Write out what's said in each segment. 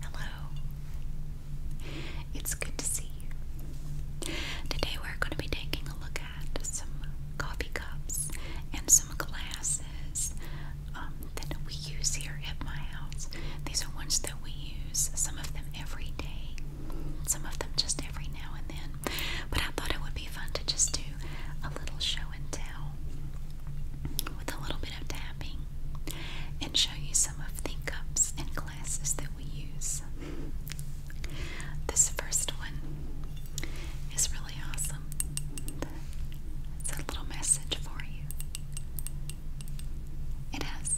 Hello. It's good to see you. Today we're going to be taking a look at some coffee cups and some glasses um, that we use here at my house. These are ones that we use, some of them every day, some of them just every now and then. But I thought it would be fun to just do a little show and tell with a little bit of tapping and show you some of the cups and glasses that we use. This first one is really awesome. It's a little message for you. It has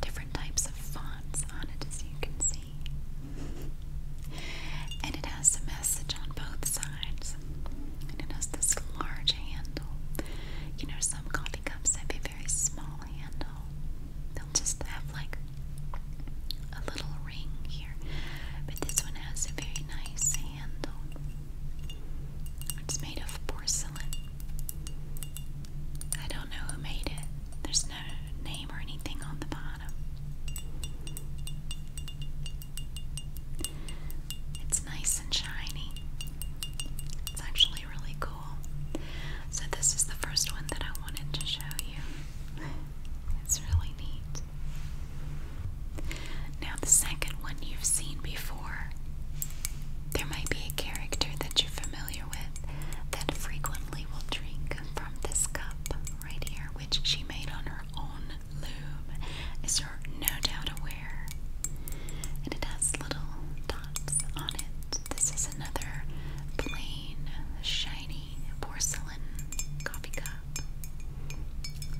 different types of fonts on it, as you can see. And it has a message on both sides it has this large handle. You know, some coffee cups have a very small handle. They'll just have like a little ring here, but this one has a very nice handle. It's made of porcelain. I don't know who made it. There's no name or anything on the bottom. It's nice and shiny. It's actually really cool. So, this is the first one that I wanted to show you. It's really neat. Now, the second one you've seen before. There might be a character that you're familiar with that frequently will drink from this cup right here, which she made on her own loom. Is there no doubt aware, and it has little dots on it. This is another plain, shiny porcelain coffee cup.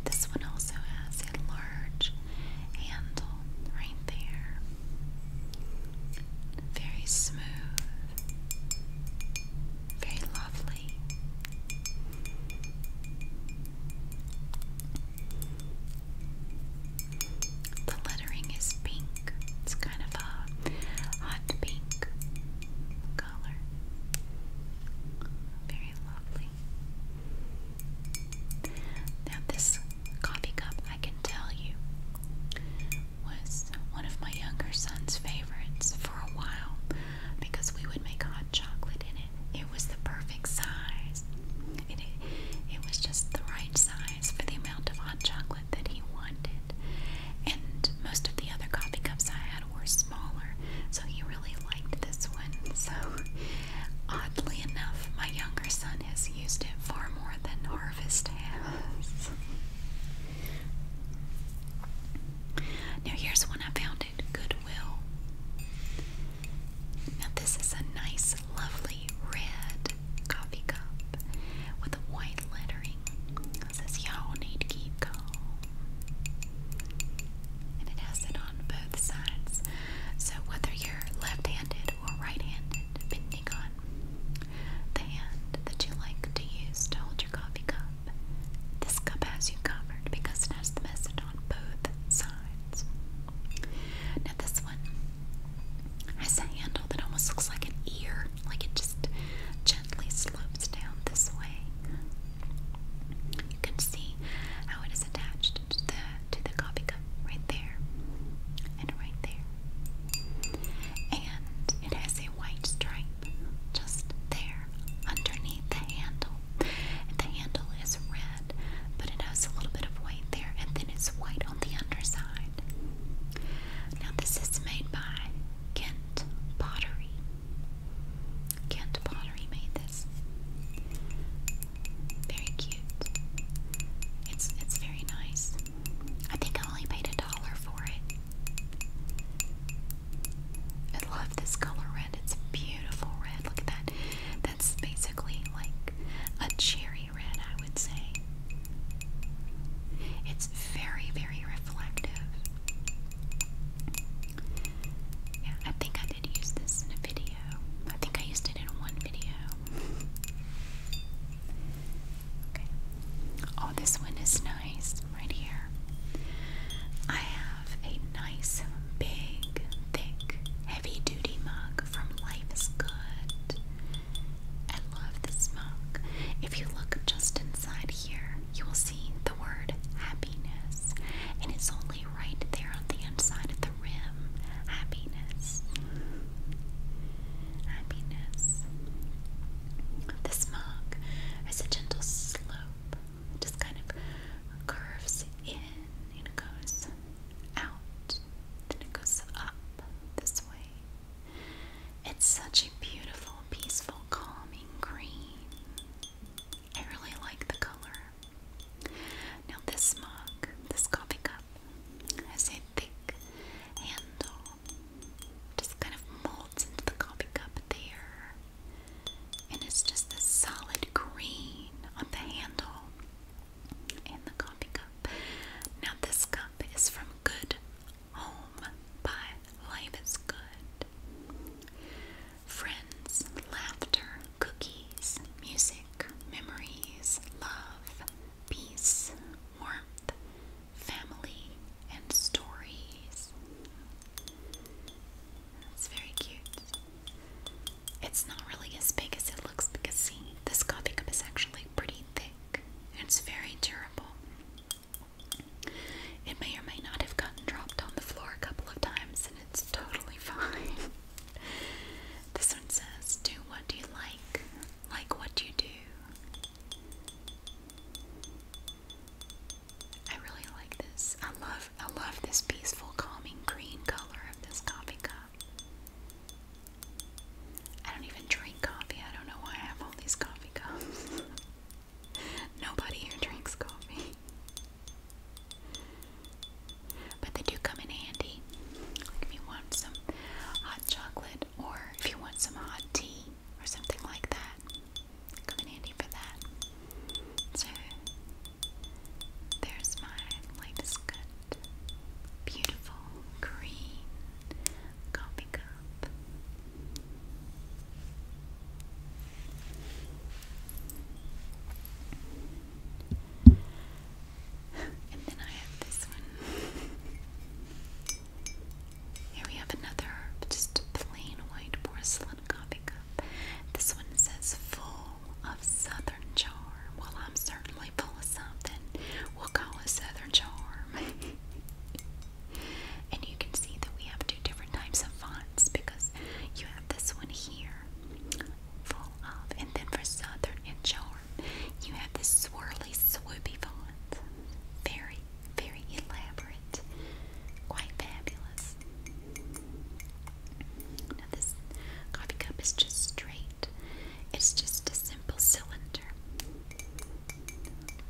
This one also has a large handle right there. Very smooth, very lovely. The lettering is pink. It's kind of a hot pink color. Very lovely. Now, this coffee cup, I can tell you, was one of my younger son's favorites for a while because we would make hot chocolate in it was the perfect size. It, it, was just the right size for the amount of hot chocolate that he wanted. And most of the other coffee cups I had were smaller, so he really liked this one. So, oddly enough, my younger son has used it far more than Harvest has. Now, here's one I found at Goodwill. Now, this is a nice this lovely red coffee cup with white lettering that says y'all need keep calm. And it has it on both sides. So whether you're left-handed or right-handed, depending on the hand that you like to use to hold your coffee cup, this cup has you covered because it has the message on both sides. Now this one has a handle that almost looks like an ear, like it just gently slopes down this way. You can see how it is attached to the to the coffee cup right there and right there. And it has a white stripe just there underneath the handle. And the handle is red but it has a little bit of white there, and then it's white on the underside. Now, this is made by Kent Pottery. Kent Pottery made this. Very cute. It's it's very nice. I think I only paid a dollar for it. I love this color red. It's beautiful red. Look at that. That's basically like a cherry red, I would say. It's very, very reflective. Yeah, I think I did use this in a video. I think I used it in one video. Okay. Oh, this one is nice right here. I have a nice big, thick, heavy duty mug from Life is Good. I love this mug. If you look just inside here, you will see the word happiness, and it's only right there on the inside of the rim. Happiness. Happiness. This mug has a gentle slope. just kind of curves in and it goes out, then it goes up this way. It's such a beautiful, peaceful, calming green. I really like the color. Now, this mug, this coffee cup, has a thick handle. Just kind of molds into the coffee cup there. And it's just this solid green on the handle and the coffee cup. Now, this cup is from Good Home by Life is Good. Friends, laughter, cookies, music, memories, love, peace, warmth, family, and stories. That's very cute. It's not really as big as it looks because, see, this coffee cup is actually pretty thick. It's very durable. It may or may not have gotten dropped on the floor a couple of times, and it's totally fine. this one says, Do what do you like, like what you do. I really like this. I love I love this peaceful, calming green color of this coffee cup. I don't even drink coffee. I don't know why I have all these coffee cups. Nobody here drinks coffee. But they do come in handy. if you want some hot chocolate or if you want some hot tea or something like that. Come in handy for that. So there's my latest cut. Beautiful green coffee cup. And then I have this one. Here we have another just plain white porcelain coffee cup. This one says full of Southern charm. Well, I'm certainly full something. We'll call it Southern charm. and you can see that we have two different types of fonts because you have this one here, full of, and then for Southern charm, you have this swirly, swoopy font. Very, very elaborate. Quite fabulous. Now, this coffee cup is just straight it's just a simple cylinder.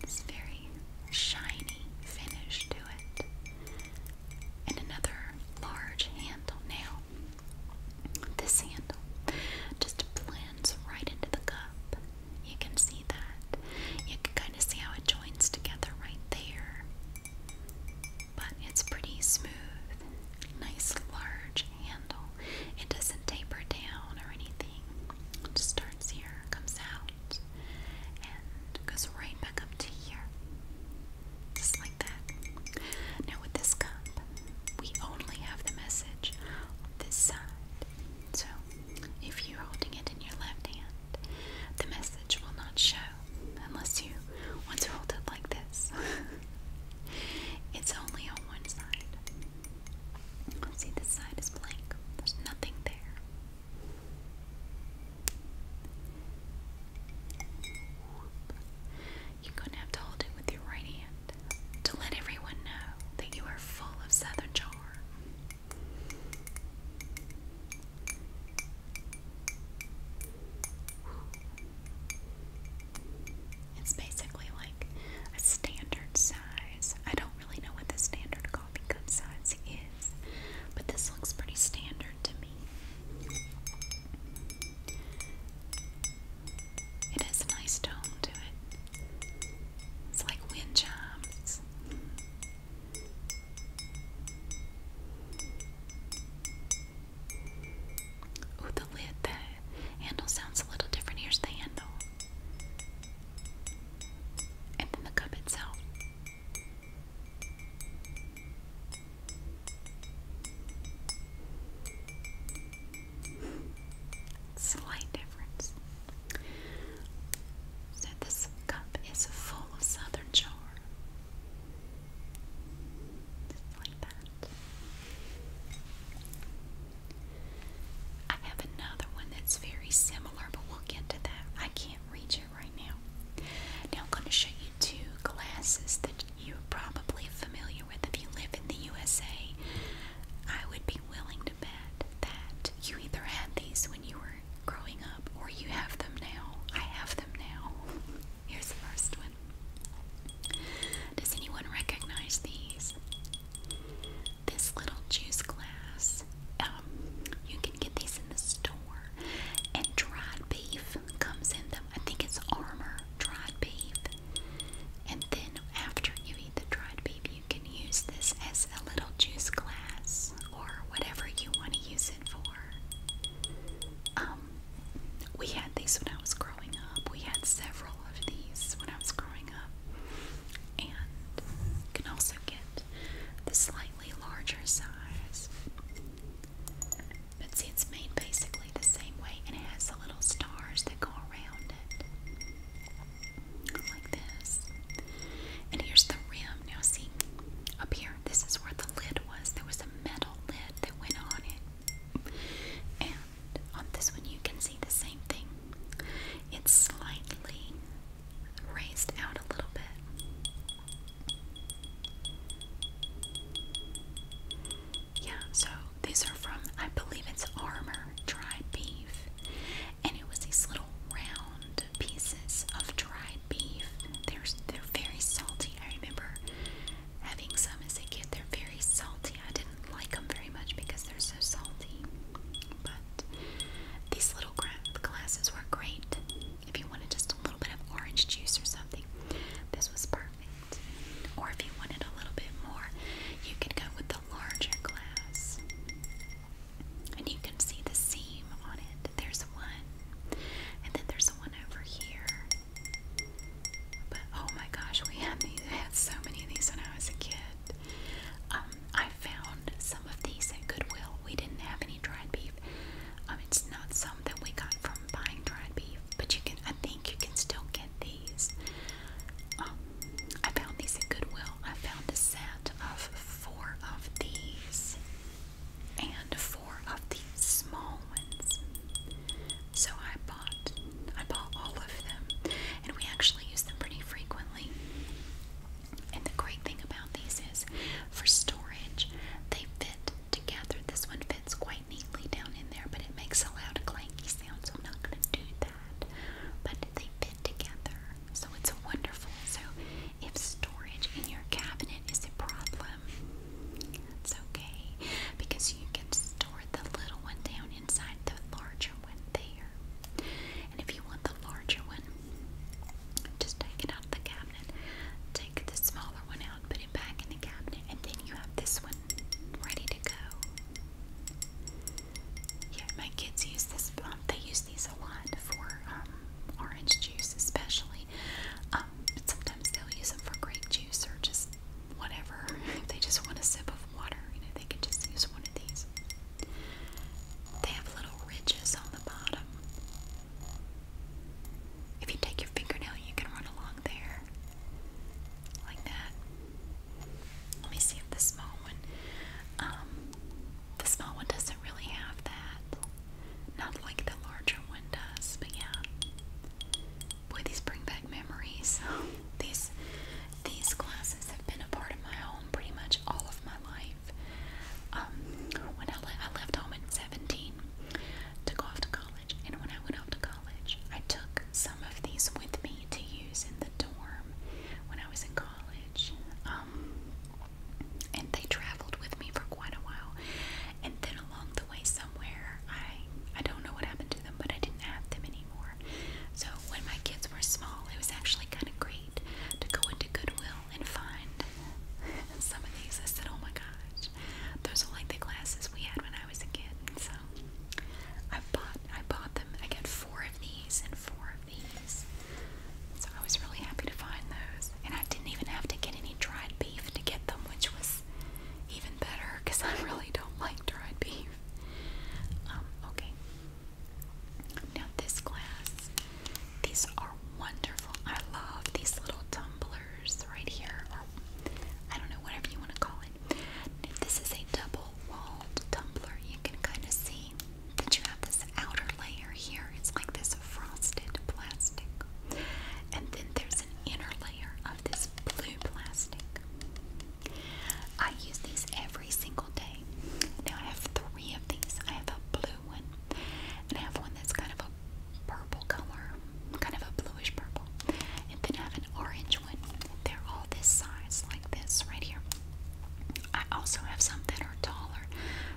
This very shiny finish to it. And another large handle now. This handle just blends right into the cup. You can see that. You can kind of see how it joins together right there but it's pretty smooth. Nice large handle. It doesn't taper down or anything. It just starts here, comes out, and goes right back up to here. Just like that. Now, with this cup, we only have the message this side. So, if you're holding it in your left hand, the message will not show unless you want to hold it like this. It's only on one side. see, this side is blank. There's nothing there. You're going to have to hold it with your right hand to let everyone know that you are full of southern charm. It's basically like a standard size. I don't really know what the standard coffee cup size is, but this looks pretty standard to me. It has a nice tone to it. It's like wind chimes. Oh, the lid that handle sounds a little different. Here's the handle. And then the cup itself. Slight difference. So, this cup is full of southern charm. I have another one that's very similar, but we'll get to that. I can't reach it right now. Now I'm going to show you two glasses that you're probably familiar with if you live in the USA. I would be willing to bet that you either had these when you were growing up or you have them now. I have them now. Here's the first one. Does anyone recognize these? This little juice glass. Um, you can get these in the store. And dried beef comes in them. I think it's Armor dried beef. And then after you eat the dried beef, you can use this as a little juice glass or whatever you want to use it for. Um, we had these when I was growing up. We had several of these when I was growing up. And you can also get the slightly larger size. But see, it's made basically the same way and it has the little stars that go around it. Like this. And here's the rim. Now, see, up here, this is where the lid was. There was a metal lid that went on it. And on this one you can see the same thing. It's slightly raised out a little bit. Yeah, so these are from, I believe it's Armor Dried Beef. And it was these little round pieces of dried beef. They're, they're very salty. I remember having some as a kid. They're very salty. I didn't like them very much because they're so salty. But these little glasses were great if you wanted just a little bit of orange juice or something. This was perfect. Or if you wanted a little bit more, you could go with the larger glass. And you can see the seam on it. There's one. And then there's one over here. But oh my gosh, we had these. I had so many of these when I was a kid. Um, I found some of these at Goodwill. We didn't have any dried beef. Um, it's not some that we got from buying dried beef, but you can. I think you can still get these. Um, I found these at Goodwill. I found a set of four of these and four of these small so I bought I bought all of them and we actually use them pretty frequently. And the great thing about these is for storage they fit together. This one fits quite neatly down in there, but it makes a loud clanky sound, so I'm not gonna do that. But they fit together, so it's wonderful. So if storage in your cabinet is a problem, it's okay because you can store store the little one down inside the larger one there. And if you want the larger one, just take it out of the cabinet. Take the smaller one out, put it back in the cabinet, and then you have this one ready to go. Yeah, my kids use this. Um, they use these a lot for um, orange juice, especially. Um, but sometimes they'll use them for grape juice or just whatever. If they just want a sip of water, you know, they can just use one of these. They have little ridges on the bottom. If you take your fingernail, you can run along there. Like that. Let me see the small one, um, the small one doesn't really have that. Not like the larger one does, but yeah boy, these bring back memories. these these classes have been a part of my home pretty much all of my life. Um, when I, left home at 17 to go off to college, and when I went off to college, I took some of these with me to use in the dorm when I was in college. Um, and they traveled with me for quite a while. And then along the the way somewhere. I I don't know what happened to them, but I didn't have them anymore. So when my kids were small, it was actually kind of great to go into Goodwill and find some of these. I said, "Oh my gosh, those are like the glasses we had when I was a kid." So I bought I bought them. I got four of these and four of these. So I was really happy to find those, and I didn't even have to get any dried beef to get them, which was even better because I really don't like dried beef. Um, okay. Now this glass, these are wonderful. I love these little tumblers right here, I don't know, whatever you want to call it. This is a double-walled tumbler. You can kind of see that you have this outer layer here. It's like this frosted plastic. And then there's an inner layer of this blue plastic. I use these every single day. Now I have three of these. I have a blue one, and I have one that's kind of a purple color, kind of a bluish purple, and then I have an orange one. They're all this size, like this right here. I also have some that are taller,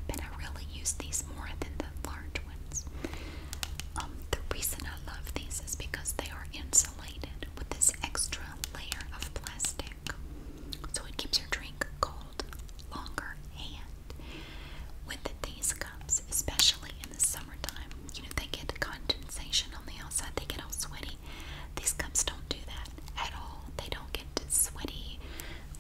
but I really use these more than the large ones. Um, the reason I love these is because they are insulated with this extra layer of plastic. So it keeps your drink cold longer and with these cups, especially in the summertime, you know, they get condensation on the outside, they get all sweaty. These cups don't do that at all. They don't get sweaty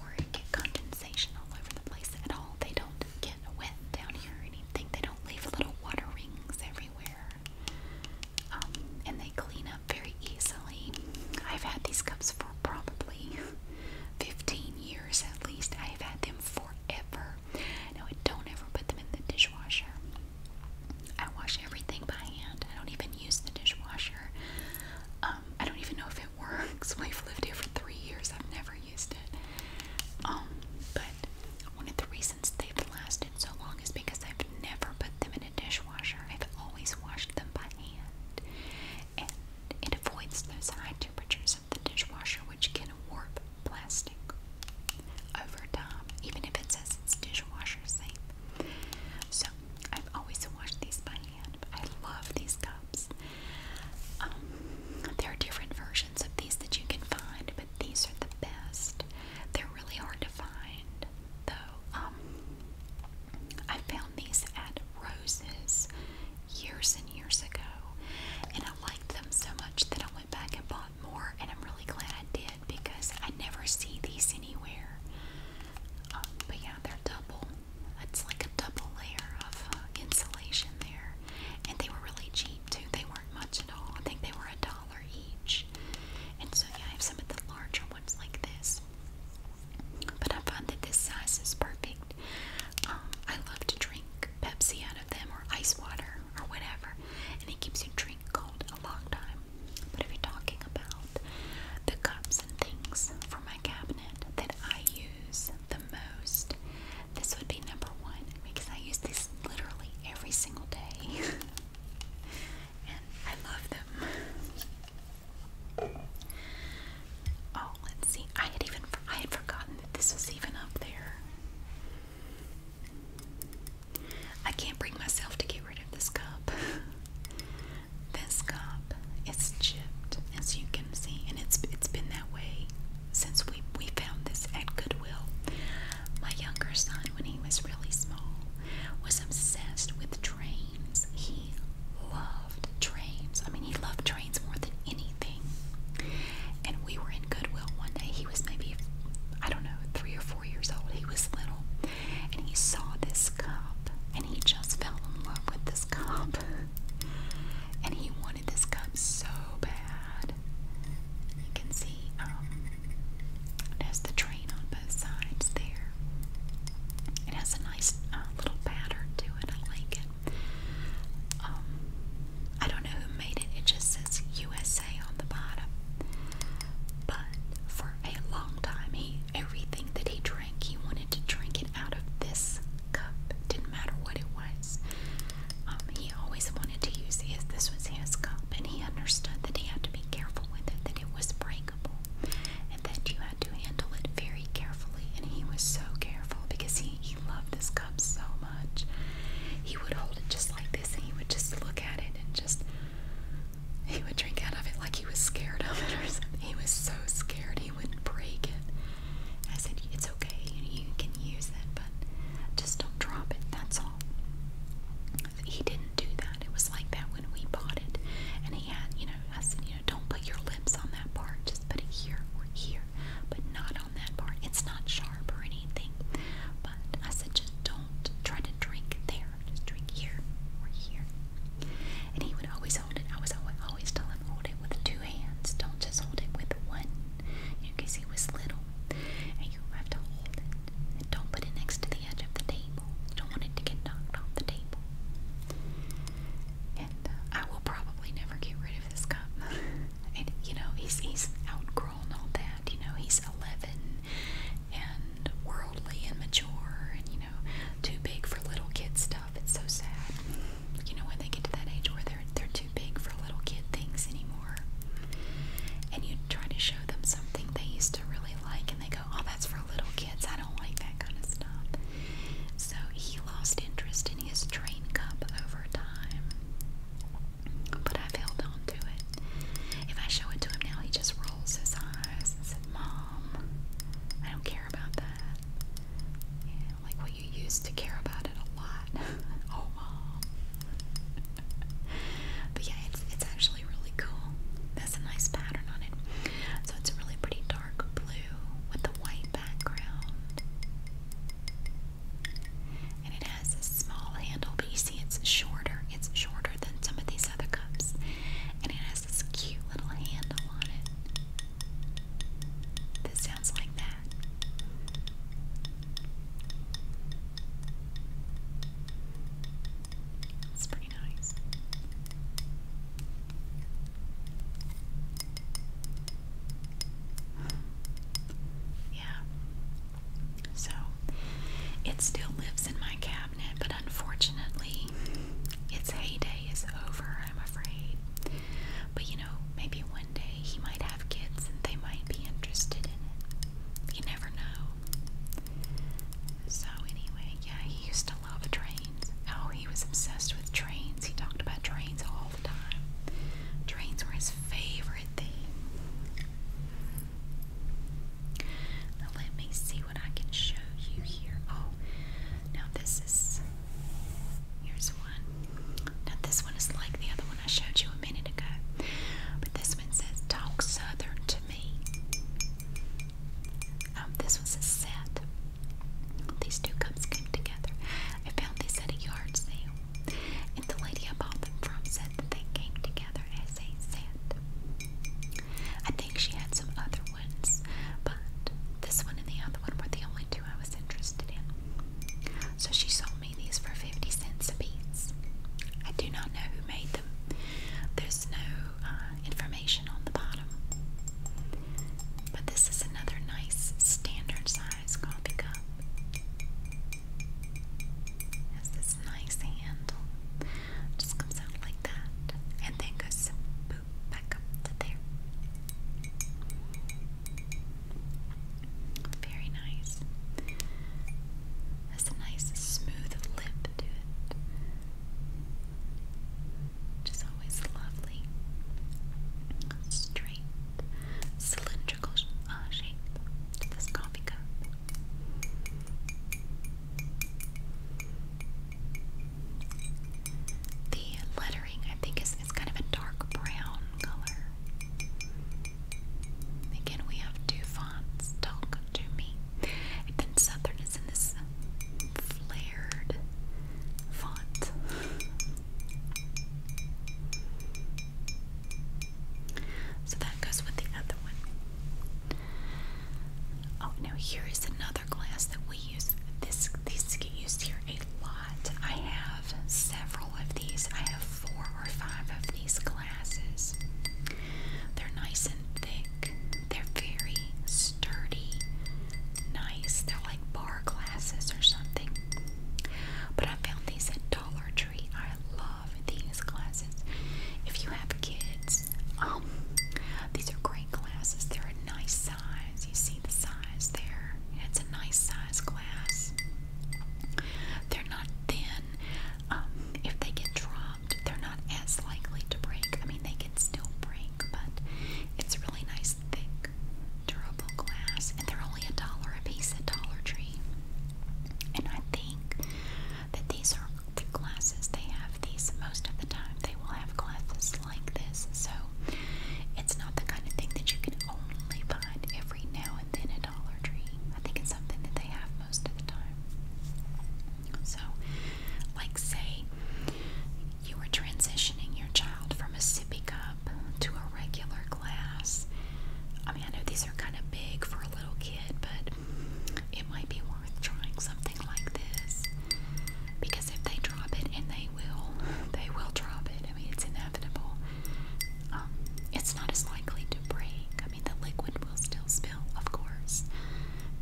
or get condensation all over the place at all. They don't get wet down here or anything. They don't leave little water rings everywhere. Um, and they clean up very easily. I've had these cups for probably 15 years at least. I've had them forever. Now, I don't ever put them in the dishwasher. I wash everything by hand. I don't even use the dishwasher. Um, I don't even know if it works. We've lived here for three years. I've never used it. Um, but one of the reasons they've lasted so long is because I've never put them in a dishwasher. I've always washed them by hand. And it avoids those high temperatures of the dishwasher, which can warp plastic over time, even if it says it's dishwasher safe. So I've always washed these by hand. I love these cups. Um, there are different versions of these that you can find these are the best. They're really hard to find, though. Um, I found these at Roses years and years ago, and I liked them so much that I went back and bought more, and I'm really glad I did because I never see these anywhere. Um, but yeah, they're double. That's like a double layer of uh, insulation there, and they were really cheap too. They were weren't much at all. I think they were a dollar each. And so yeah, I have some of the larger ones like this. But I find that this size is perfect. Um, I love to drink Pepsi out of them or ice water or whatever. And it keeps your drink cold a long time. But if you're talking about the cups and things for my cabinet that I use the most, this would be number one because I use this literally every single day. I love them. Oh, let's see. I had even I had forgotten that this was even up there. I can't bring myself to get rid of this cup. This cup is chipped, as you can see, and it's it's been that way since we we found this at Goodwill. My younger son, when he was really small, was obsessed with trains. He loved trains. I mean, he loved trains more than anything. And we were in Goodwill one day. He was maybe, I don't know, three or four years old. He was little. And he saw this cup. And he just fell in love with this cup. and he wanted this cup so bad. You can see um, it has the train on both sides there. It has a nice uh, little pattern to it. I like it. Um, I don't know who made it. It just says USA on the bottom. But for a long time, he everything that he drank, he wanted to drink it out of this cup. Didn't matter what it was. Um, he he always wanted to use his. This was his cup, and he understood that he had to be careful with it, that it was breakable, and that you had to handle it very carefully. And he was so careful because he, he loved this cup so much. He would hold it just like this, and he would just look at it and just he would drink out of it like he was scared of it or something. He was so scared he wouldn't break it. I said, It's okay, you, you can use it, but just don't drop it, that's all he didn't do that. It was like that when we bought it. And he had, you know, I said, you know, don't put your lips on that part. Just put it here or here, but not on that part. It's not sharp or anything. But I said, just don't try to drink there. Just drink here or here. And he would always hold it. I was always, always telling him, hold it with two hands. Don't just hold it with one. You know, because he was little. And you have to hold it and don't put it next to the edge of the table. You don't want it to get knocked off the table. And uh, I will probably never get rid of this cup. and you know, he's he's outgrown all that. You know, he's 11 and worldly and mature and you know, too big for little kid stuff. It's so sad. You know, when they get to that age where they're they're too big for little kid things anymore anymore. And you try to show them something they used to really like, and they go, Oh, that's for little kids. I don't like that kind of stuff. So he lost interest in his train cup over time. But I've held on to it. If I show it to him now, he just rolls his eyes and says, Mom, I don't care about that. Yeah, like what well, you used to care about it a lot. oh, Mom. but yeah, it's it's actually really cool. That's a nice pattern on it. So it's a really pretty dark blue with a white background, and it has a small handle. But you see, it's shorter. It's shorter than some of these other cups, and it has this cute little handle on it. That sounds like that. It's pretty nice. yeah. So it still lives in my cabinet, but unfortunately, its heyday is over, I'm afraid. But you know, maybe one day he might have kids and they might be interested in it. You never know. So, anyway, yeah, he used to love trains. Oh, he was obsessed with trains. He talked about trains all the time. Trains were his favorite thing. Now, let me see what I can show you here. Oh, now this is. Here's one. Now, this one is like the other one I showed you a minute ago. But this one says, Talk Southern um, this was a set. These two cups came together. I found these at a yard sale, and the lady I bought them from said that they came together as a set. I think she had some other ones, but this one and the other one were the only two I was interested in. So she sold me these for 50 cents apiece. I do not know made them. There's no uh, information on the bottom. But this is another nice standard size coffee cup. It has this nice handle. just comes out like that. And then goes boop back up to there. Very nice has a nice smooth lip to it, which is always lovely. Straight, cylindrical uh, shape to this coffee cup. The lettering, I think, is it's kind of a dark brown color. Again, we have two fonts. Talk to me. then Southern is in this flared font. So that goes with the other one. Oh, now here is another glass that we use. This these get used here a lot. I have several of these. I have four or five of these glasses. They're nice and thick, they're very sturdy, nice. They're like bar glasses or something. But I found these at Dollar Tree. I love these glasses. If you have kids, um, these are great glasses. They're a nice size. You see the size there. It's a nice size glass. They're not thin um, if they get dropped, they're not as likely to break. I mean, they can still break, but it's really nice, thick, durable glass, and they're only a dollar a piece at Dollar Tree. And I think that these are the glasses they have. These most of the time they will have glasses like this, so it's not the kind of thing that you can only find every now and then at Dollar Tree. I think it's something that they have most of the time. So, like, say you were transitioning your child from a sippy cup to a regular glass. I mean, I know these are kind of big for a little kid, but it might be worth trying something like this because if they drop it, and they will, they will drop it. I mean, it's inevitable. Um, it's not as likely to break. I mean, the liquid will still spill, of course,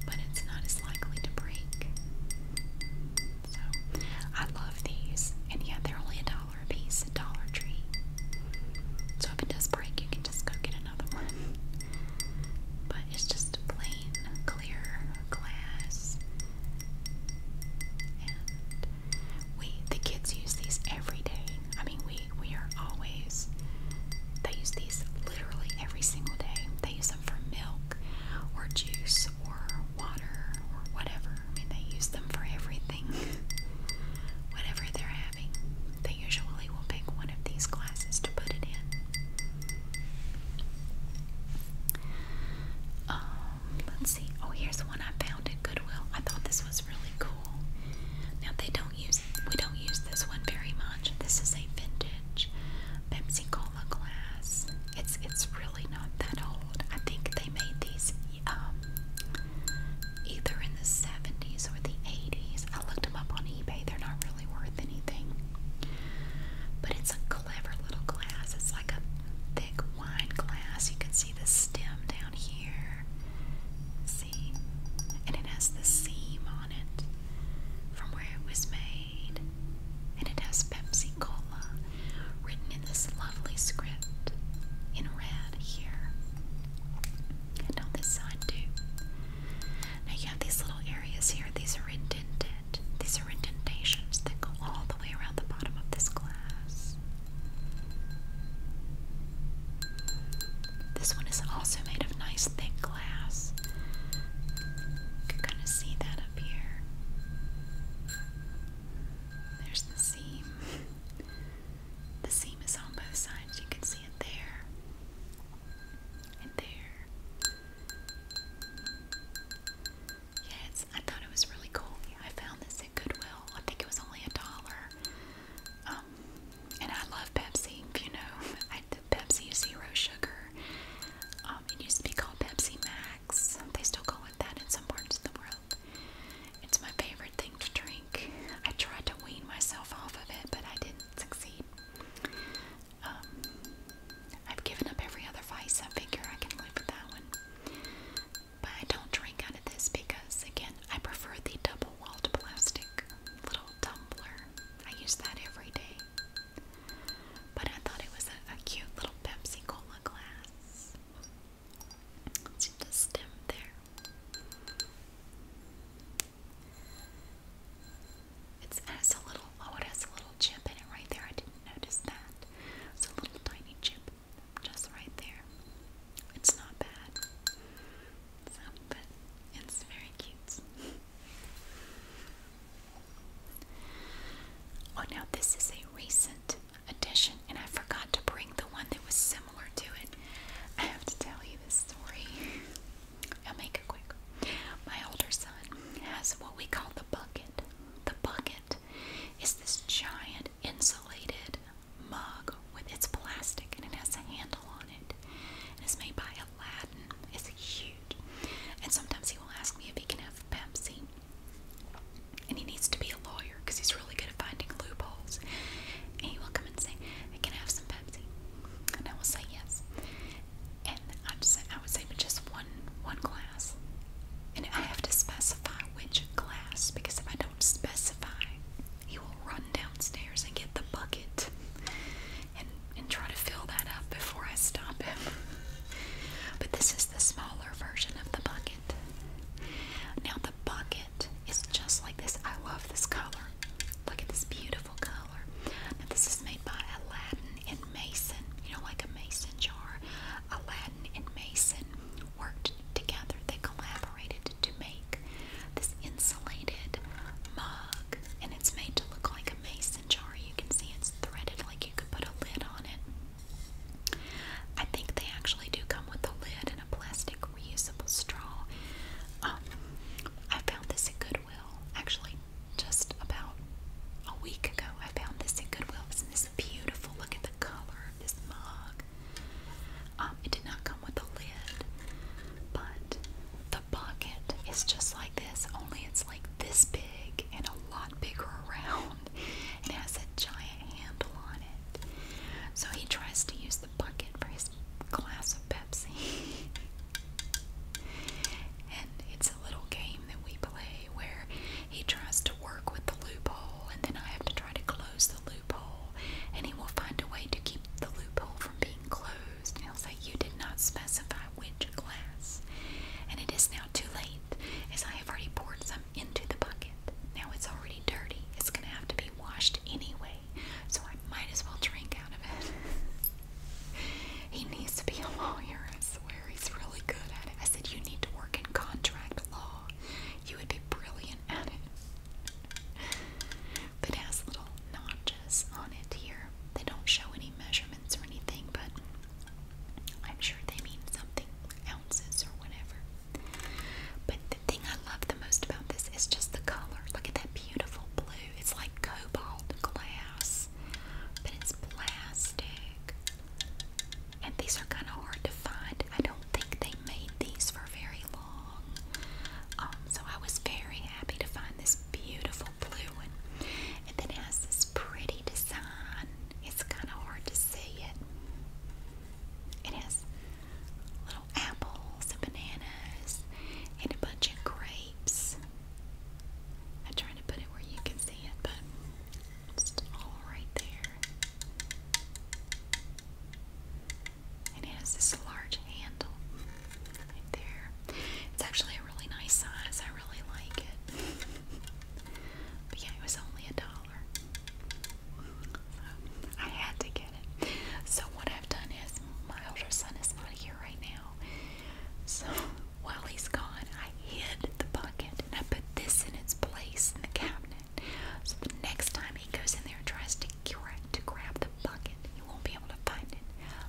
but it's not as likely to break. So, I love these, and yeah, they're only a dollar a piece at Dollar Tree. So, if it does break, you can just go get another one. But it's just plain clear glass. And we, the kids use these every day. I mean, we we are always, they use these literally every single day. They use them for milk or juice or water or whatever. I mean, they use them for everything. whatever they're having, they usually will pick one of these glasses to put it in. Um, let's see. Oh, here's one I found at Goodwill. I thought this was really cool. Now, they don't use we don't use this one very much. This is a vintage Pepsi Cola glass. It's it's really not that old. I think they made these um, either in the 70s or the 80s. I looked them up on eBay. They're not really worth anything. But it's a clever little glass. It's like a thick wine glass. You can see the stem down here. And it has the seam on it from where it was made. And it has Pepsi Cola written in this lovely script in red here. And on this side too. Now you have these little areas here. These are indented. These are indentations that go all the way around the bottom of this glass. This one is also made of nice thick glass. You can kind of see that up here. There's the seam. The seam is on both sides. You can see it there and there. Yeah, I thought it was really cool. I found this at Goodwill. I think it was only a dollar. Um, and I love Pepsi, you know. the Pepsi is zero sugar. Um, it used to be called Pepsi Max. They still call it that in some parts of the world. It's my favorite thing to drink. I tried to wean myself off of it, but I didn't succeed. Um, I've given up every other vice. I figure I can live with that one. But I don't drink out of this because, again, I prefer the double walled plastic little tumbler. I use that every day. But I thought it was a, cute little Pepsi Cola glass. See the stem there. It's, it has a little, oh, it has a little chip in it right there. I didn't notice that. It's a little tiny chip just right there. It's not bad. So, but it's very cute. oh, now this is a recent addition, and I forgot to bring the one that was similar to it. I have to tell you this story. I'll make it quick. My older son has what we call the bucket. The bucket is this giant insulated mug with its plastic and it has a handle on it. And it's made by a. Aladdin is huge. And sometimes he will ask me if he can have Pepsi. And he needs to be a lawyer because he's really good at finding loopholes. And he will come and say, I can have some Pepsi. And I will say yes. And I would say, I would say but just one one glass. And I have to specify which glass because if I don't specify he will run downstairs and get the bucket and and try to fill that up before I stop him. but this is the smaller version of the bucket. Now the bucket is just like this. I love this color. Look at this beautiful color. Now this is made by Aladdin and Mason. You know, like a mason jar. Aladdin and Mason worked together. They collaborated to make this insulated mug, and it's made to look like a mason jar. You can see it's threaded like you could put a lid on it. I think they actually do come with a lid and a plastic reusable straw. Um, I found this at Goodwill, actually, just about a week ago. I found this at Goodwill. Isn't this beautiful? Look at the color of this mug. Um, it did not come with a lid, but the pocket is just like this, only it's like this big and a lot bigger around. and has a giant handle on it. So he tries to use the bucket for his glass of Pepsi. and it's a little game that we play where he tries to work with the loophole, and then I have to try to close the loophole, and he will find a way to keep the loophole from being closed used. And I was like, You did not specify which glass. And it is now too late, as I have already poured some into the bucket. Now it's already dirty. It's going to have to be washed anyway, so I might as well drink out of it. he needs to be a lawyer, I swear. He's really good at it. I said, You need to work in contract law. You would be brilliant at it but it has little notches on it here. They don't show any measurements or anything, but I'm sure they mean something ounces or whatever. But the thing I love the most about this is just the color. Look at that beautiful blue. It's like cobalt glass, but it's plastic. And these are kind of hard to find. I don't think they made these for very long long. Um, so I was very happy to find this beautiful blue one. And then it has this pretty design. It's kind of hard to see it. It has little apples and bananas and a bunch of grapes. I am trying to put it where you can see it, but it's all right there and it has this large handle right there. It's actually a really nice size. I really like it. but yeah, it was only a dollar. So I had to get it. So what I've done is my older son is not here right now. So while he's gone, I hid the bucket and I put this in its place in the cabinet. So the next time he goes in there and tries to Kira to grab the bucket. You won't be able to find it.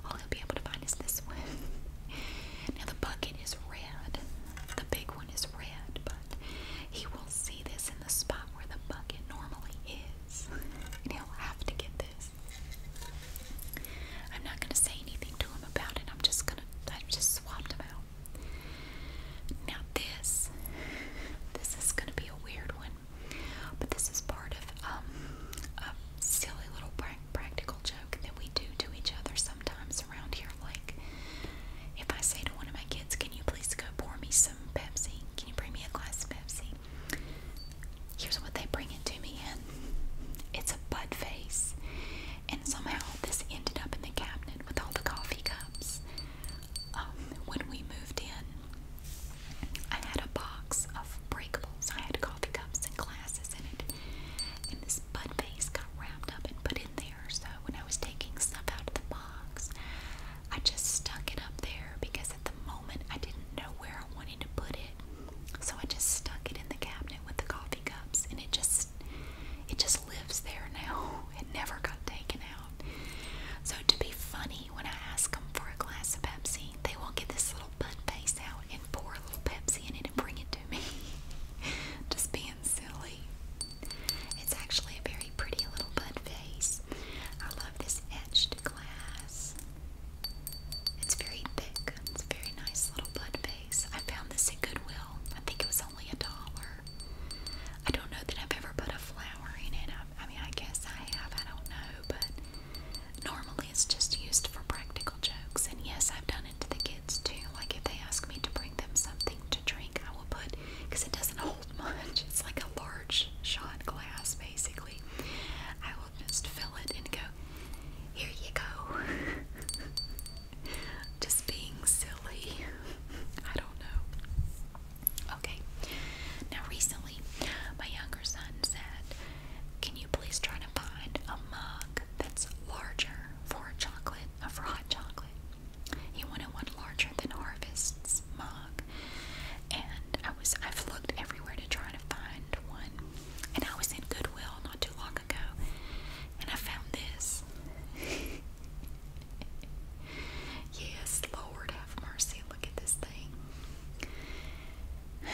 All you'll be able to find is this one. now the bucket is red. The big one is red, but he will see this in the spot where the bucket normally is. And he'll have to get this. I'm not gonna say anything to him about it. I'm just gonna I am just swapped him out. Now this this is gonna be a weird one. But this is part of um, a silly little pra practical joke that we do to each other sometimes around here. Like, if I say to one of my kids, Can you please go pour me some Pepsi? Can you bring me a glass of Pepsi? Here's what they bring it to me in it's a bud face. And somehow this ended up in the cabinet with all the coffee cups. Um, when we moved in, I had a box of breakables. I had coffee cups and glasses in it. And this bud vase got wrapped up and put in there. So when I was taking stuff out of the box, I just stuck it up there because at the moment I didn't know where I wanted to put it. So I just stuck it in the cabinet with the coffee cups and it just it just lives there now. It never got taken out. So to be funny, me when I ask them for a glass of Pepsi. They will get this little bud face out and pour a little Pepsi in it and bring it to me. Just being silly. It's actually a very pretty little bud face. I love this etched glass. It's very thick. It's a very nice little bud face. I found this at Goodwill. I think it was only a dollar. I don't know that I've ever put a flower in it. I, I mean, I guess I have. I don't know, but Normally it's just used for practical jokes, and yes, I've done it to the kids too. Like if they ask me to bring them something to drink, I will put, because it doesn't hold much, it's like a large shot glass basically. I will just fill it and go, here you go. just being silly. I don't know. Okay. Now, recently, my younger son said can you please try to find a mug that's larger for chocolate, or for hot chocolate? He wanted one larger than Harvest's mug, and I was I've looked everywhere to try to find one, and I was in Goodwill not too long ago, and I found this. yes, Lord have mercy! Look at this thing.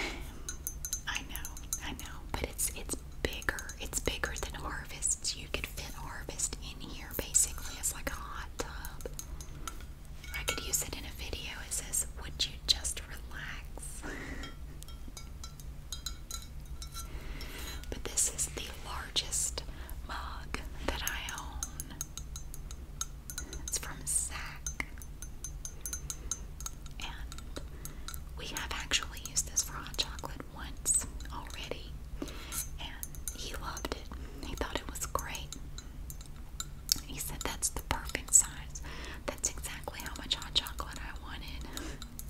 I know, I know, but it's it's bigger. It's bigger than Harvest. You could fit Harvest in here basically it's like a hot tub. I could use it in a video. It says, "Would you just relax?" but this is the largest mug that I own. It's from Sack we have actually used this for hot chocolate once already, and he loved it. He thought it was great. He said, That's the perfect size. That's exactly how much hot chocolate I wanted.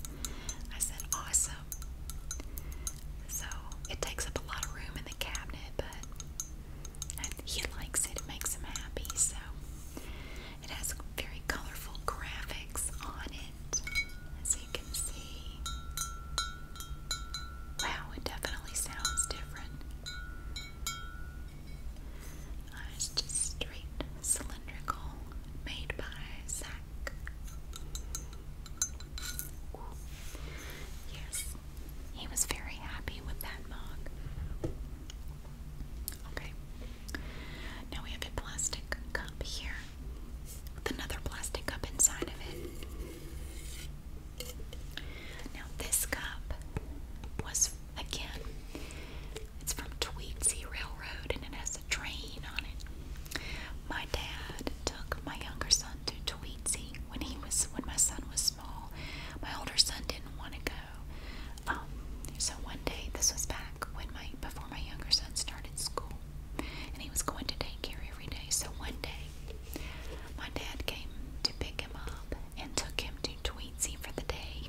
I said, Awesome. So it takes up a lot of room in the cabinet, but he likes it, it makes him happy. So it has very colorful graphics on it, as you can see. Wow, it definitely sounds different. Uh, it's just straight cylindrical, made by Zach. Yes, he was very happy with that mug. Okay. Now we have a plastic cup here with another plastic cup inside of it. Now this cup was again it's from Tweetsie Railroad and it has a train on it. My dad took my younger son to Tweetsie when he was when my son was small. My older son didn't want to go um, so one day, this was back when my before my younger son started school, and he was going to daycare every day. So one day, my dad came to pick him up and took him to Tweetsie for the day,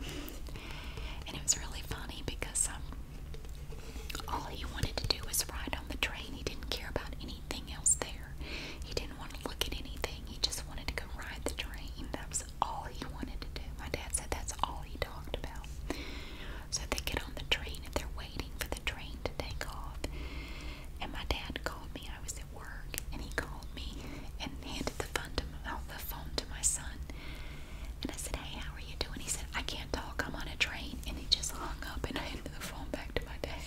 and it was really funny because um, all he wanted to do was ride on the train. He didn't care about anything else there. He didn't want to look at anything. He just wanted to go ride the train. That was was all he wanted to do. My dad said that's all he talked about. So they get on the train and they're waiting for the train to take off. And my dad called me. I was at work and he called me and handed the phone to my, uh, the phone to my son. And I said, "Hey, how are you doing?" He said, "I can't talk. I'm on a train." And he just hung up and handed the phone back to my dad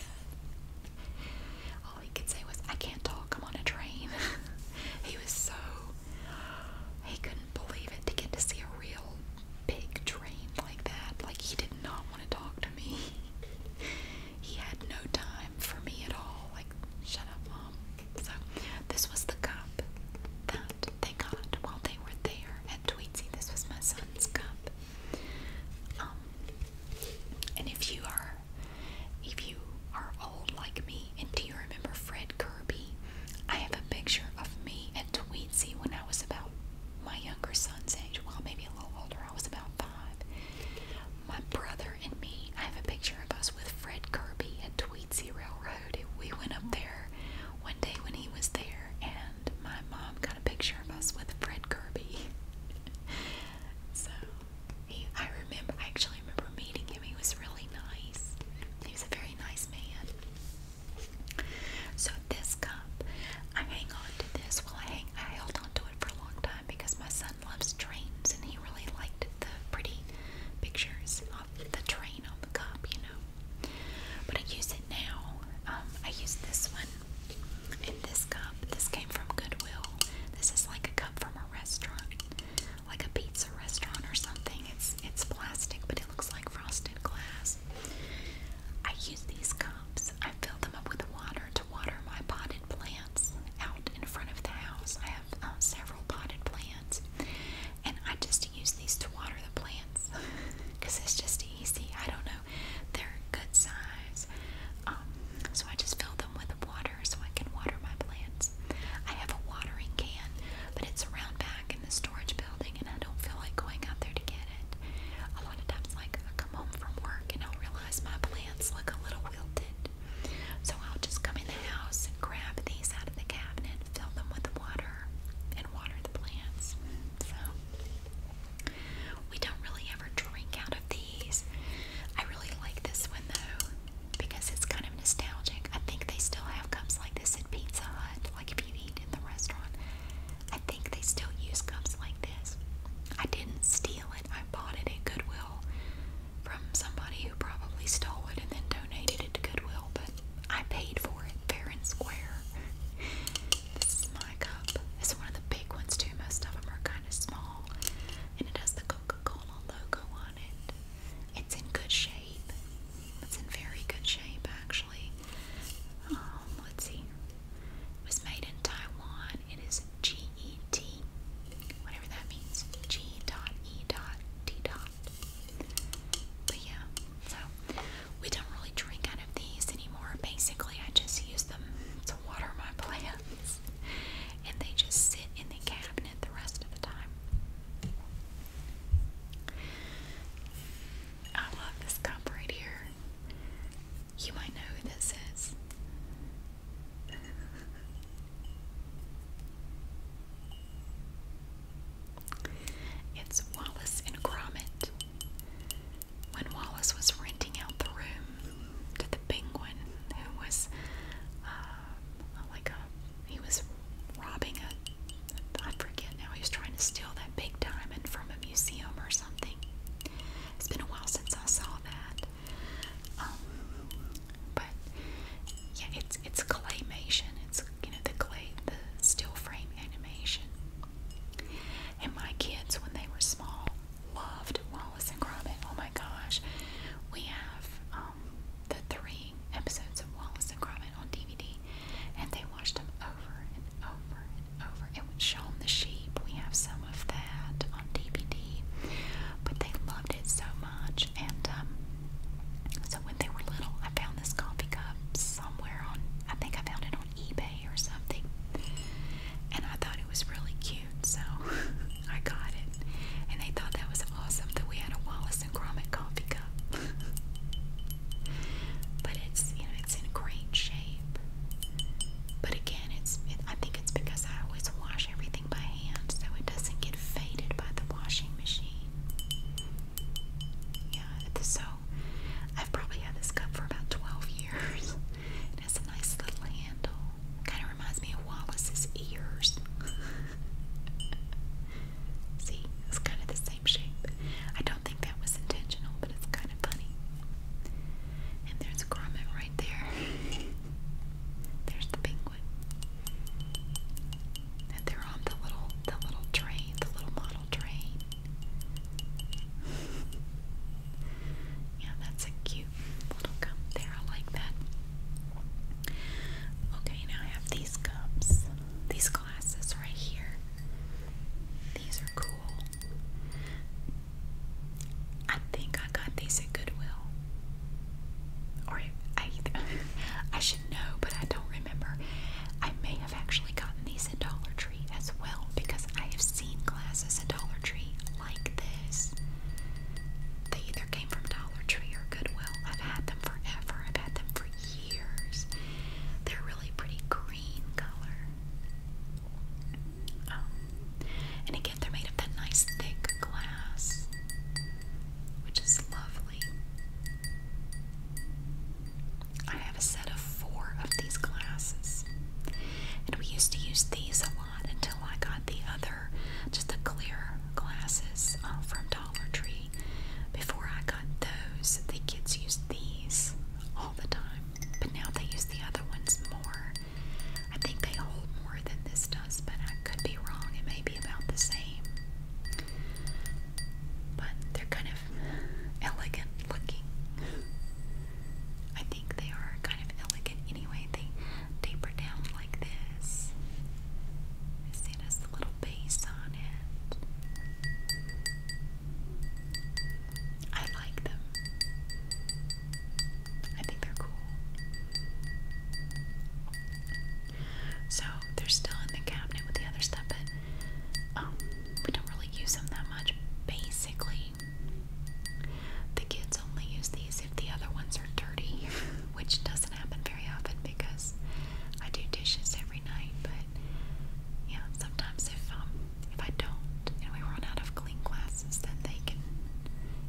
he could say was, I can't talk, I'm on a train. he was so, he couldn't believe it to get to see a real big train like that. Like, he did not want to talk to me. he had no time for me at all. Like, shut up, mom. So, this was the cup that they got while they were there at Tweety. This was my son's cup. Um, and if you are remember. If you are old like me, and do you remember Fred Kirby? I have a picture of me at Tweetsie when I was about my younger son's age. Well, maybe a little older. I was about five. My brother and me, I have a picture of us with Fred Kirby at Tweetsie Railroad. We went up there one day when he was there, and my mom got a picture of us with Fred Kirby. so I remember, I actually remember meeting him. He was really nice. He was a very nice man. So this cup, I hang on to this. Well, I held on to it for a long time because my son loves trains and he really liked the pretty pictures of the train on the cup, you know. But I use it now. Um, I use this one and this cup. This came from Goodwill. This is like a cup from a restaurant like a pizza restaurant or something. It's it's plastic, but it looks like frosted glass. I use these cups. I fill them up with water to water my potted plants out in front of the house. I have um, several potted plants, and I just use these to water the plants because it's just easy. I don't know. They're good size, um, so I just fill them with water so I can water my plants. I have a watering can, but it's around back in the storage building and I don't feel like going out there to get it. A lot of times like I come home from work and I'll realize my plants look a little wilted. So I'll just come in the house and grab these out of the cabinet, fill them with water, and water the plants. So we don't really ever drink out of these. I really like this one though because it's kind of nostalgic. I think they still have cups like this at Pizza Hut, like if you eat in the restaurant. I think they still use cups like this. I didn't steal it, I bought it at Goodwill from somebody who probably stole it and then donated it to Goodwill, but I paid for it fair and square. this is my cup. It's one of the big ones, too. Most of them are kind of small, and it has the Coca Cola logo on it's in good shape. It's in very good shape, actually. Um, let's see. It was made in Taiwan. It is GET, whatever that means. G dot E dot T dot. But yeah, so we don't really drink out of these anymore. Basically, I just use them to water my plants and they just sit in the cabinet the rest of the time. I love this cup right here. You might know who this is. It's Wallace and Gromit. When Wallace was renting out the room to the penguin, who was uh, um, like he was robbing a I forget now he was trying to steal that big diamond from a museum or something. It's been a while since I saw that. Um, but yeah, it's it's claymation. It's you know the clay the still frame animation. And my kids when they were small loved Wallace and Gromit. Oh my gosh, we have. Um, um, the three episodes of Wallace and Gromit on DVD, and they watched them over and over and over. It was Shaun the Sheep. We have some of that on DVD, but they loved it so much. And um, so when they were little, I found this coffee cup somewhere on. I think I found it on eBay or something, and I thought it was really cute. So. I got it. And they thought that was awesome that we had a Wallace and Gromit coffee cup. but it's, you know, it's in great shape. But again, it's I think it's because I always wash everything by hand so it doesn't get faded by the washing machine. Yeah, so I've probably had this cup for about 12 years. It has a nice little handle. Kind of reminds me of Wallace's ears. See, it's kind of the same shape. I don't think that was intentional, but it's kind of funny. And there's a right there. there's the penguin. And they're on the little the little train, the little model train. yeah, that's a cute little gum there. I like that. Okay, now I have these cups, these glasses right here. These are cool. I think I got these at Goodwill. Or I I should know, but I don't remember. I may have actually gotten these at Dollar Tree as well because I have seen glasses at Dollar Tree like this. They either came from Dollar Tree or Goodwill. I've had them forever. I've had them for years. They're really pretty green color. Um, and again, they're made of that nice thick glass, which is lovely. I have a set of four of these glasses, and we used to use these a lot until I got the other clear, just the clear glasses uh, from Dollar Tree. Before I got those, the kids used these all the time, but now they use the other ones more. I think they hold more than this does, but I could be wrong. It may be about the same. But they're kind of elegant looking. I think they are kind of elegant anyway. They deeper down like this. See, it has little base on it. I like them. I think they're cool. So they're still in the cabinet with the other stuff, but um, we don't really use them that much. Basically, the kids only use these the other ones are dirty, which doesn't happen very often because I do dishes every night. But yeah, sometimes if um, if I don't and we run out of clean glasses, then they can.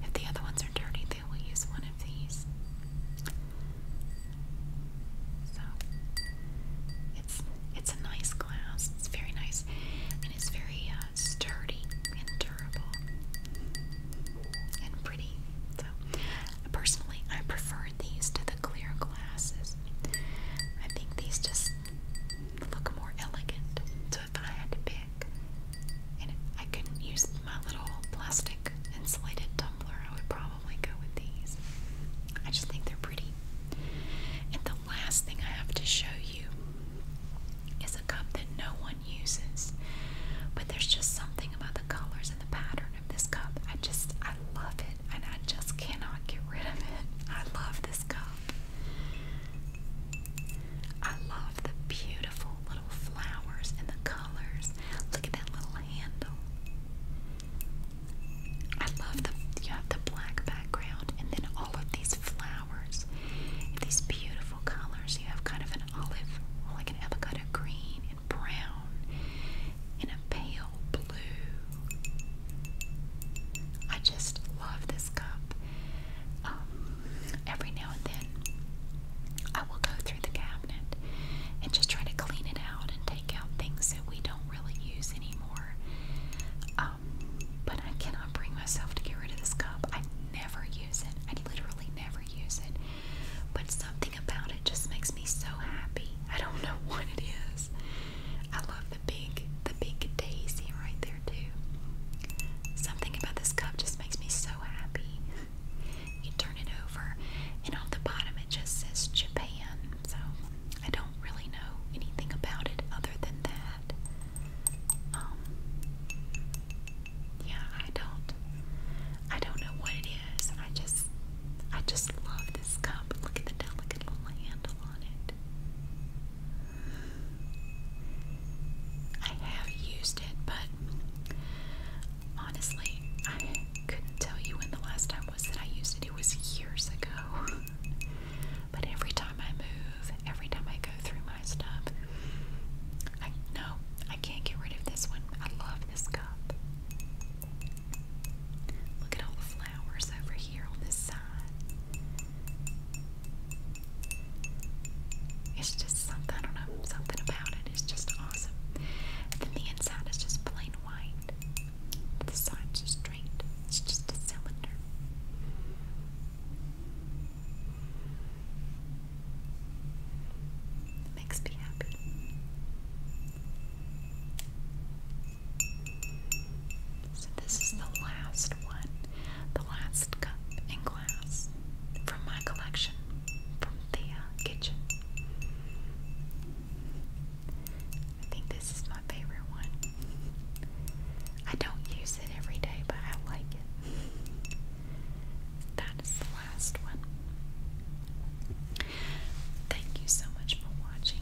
If the other ones are dirty, they will use one of these. So it's it's a nice glass. It's very nice, and it's very uh, sturdy and durable, and pretty. So, personally, I prefer these to the clear glasses. I think these just look more elegant. So, if I had to pick, and I couldn't use my little plastic insulated tumbler, I would probably go with these. I just think they're pretty. And the last thing I have to show you is a cup that no one uses. But there's just something about the colors and the pattern of this cup. I just, I love it and I just cannot get rid of it. I love this cup. I love the beautiful little flowers and the colors. Look at that little handle. I love the you have the black background and then all of these flowers. These beautiful colors. You have kind of an olive, like an avocado green, brown and a pale blue. I just love this cup. Um, every now and then, I will go through the cabinet and just try to clean it out and take out things that we don't really use anymore. Um, but I cannot bring myself to get rid of this cup. I never use it. I literally never use it. But something about it just makes me so happy. I don't know what it is. I love the big, the big daisy right there too. Something about this cup just makes me so happy. You turn it over, and on the bottom it just says Japan. So I don't really know anything about it other than that. Um, yeah, I don't I don't know what it is. I just I just love this cup. Look at the delicate little handle on it. I have used it, but honestly, I couldn't tell you when the last time was that I used it. It was years ago. but every time I move, every time I go through my stuff, I no, I can't get rid of this one. I love this cup. Look at all the flowers over here on this side. It's just something, I don't know, something about It's just awesome. then the inside is just plain white. The side's just straight. It's just a cylinder makes me happy. So, this is the last one, the last cup and glass from my collection from Thea Kitchen. I think this is my favorite one. I don't use it every day, but I like it. That is last one. Thank you so much for watching.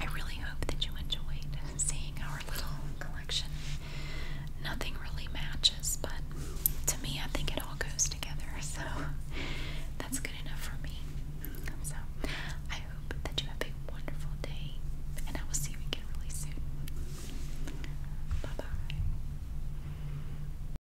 I really hope that you enjoyed seeing our little collection. Nothing really matches, but to me, I think it all goes together, so that's good enough for me. So, I hope that you have a wonderful day, and I will see you again really soon. Bye bye.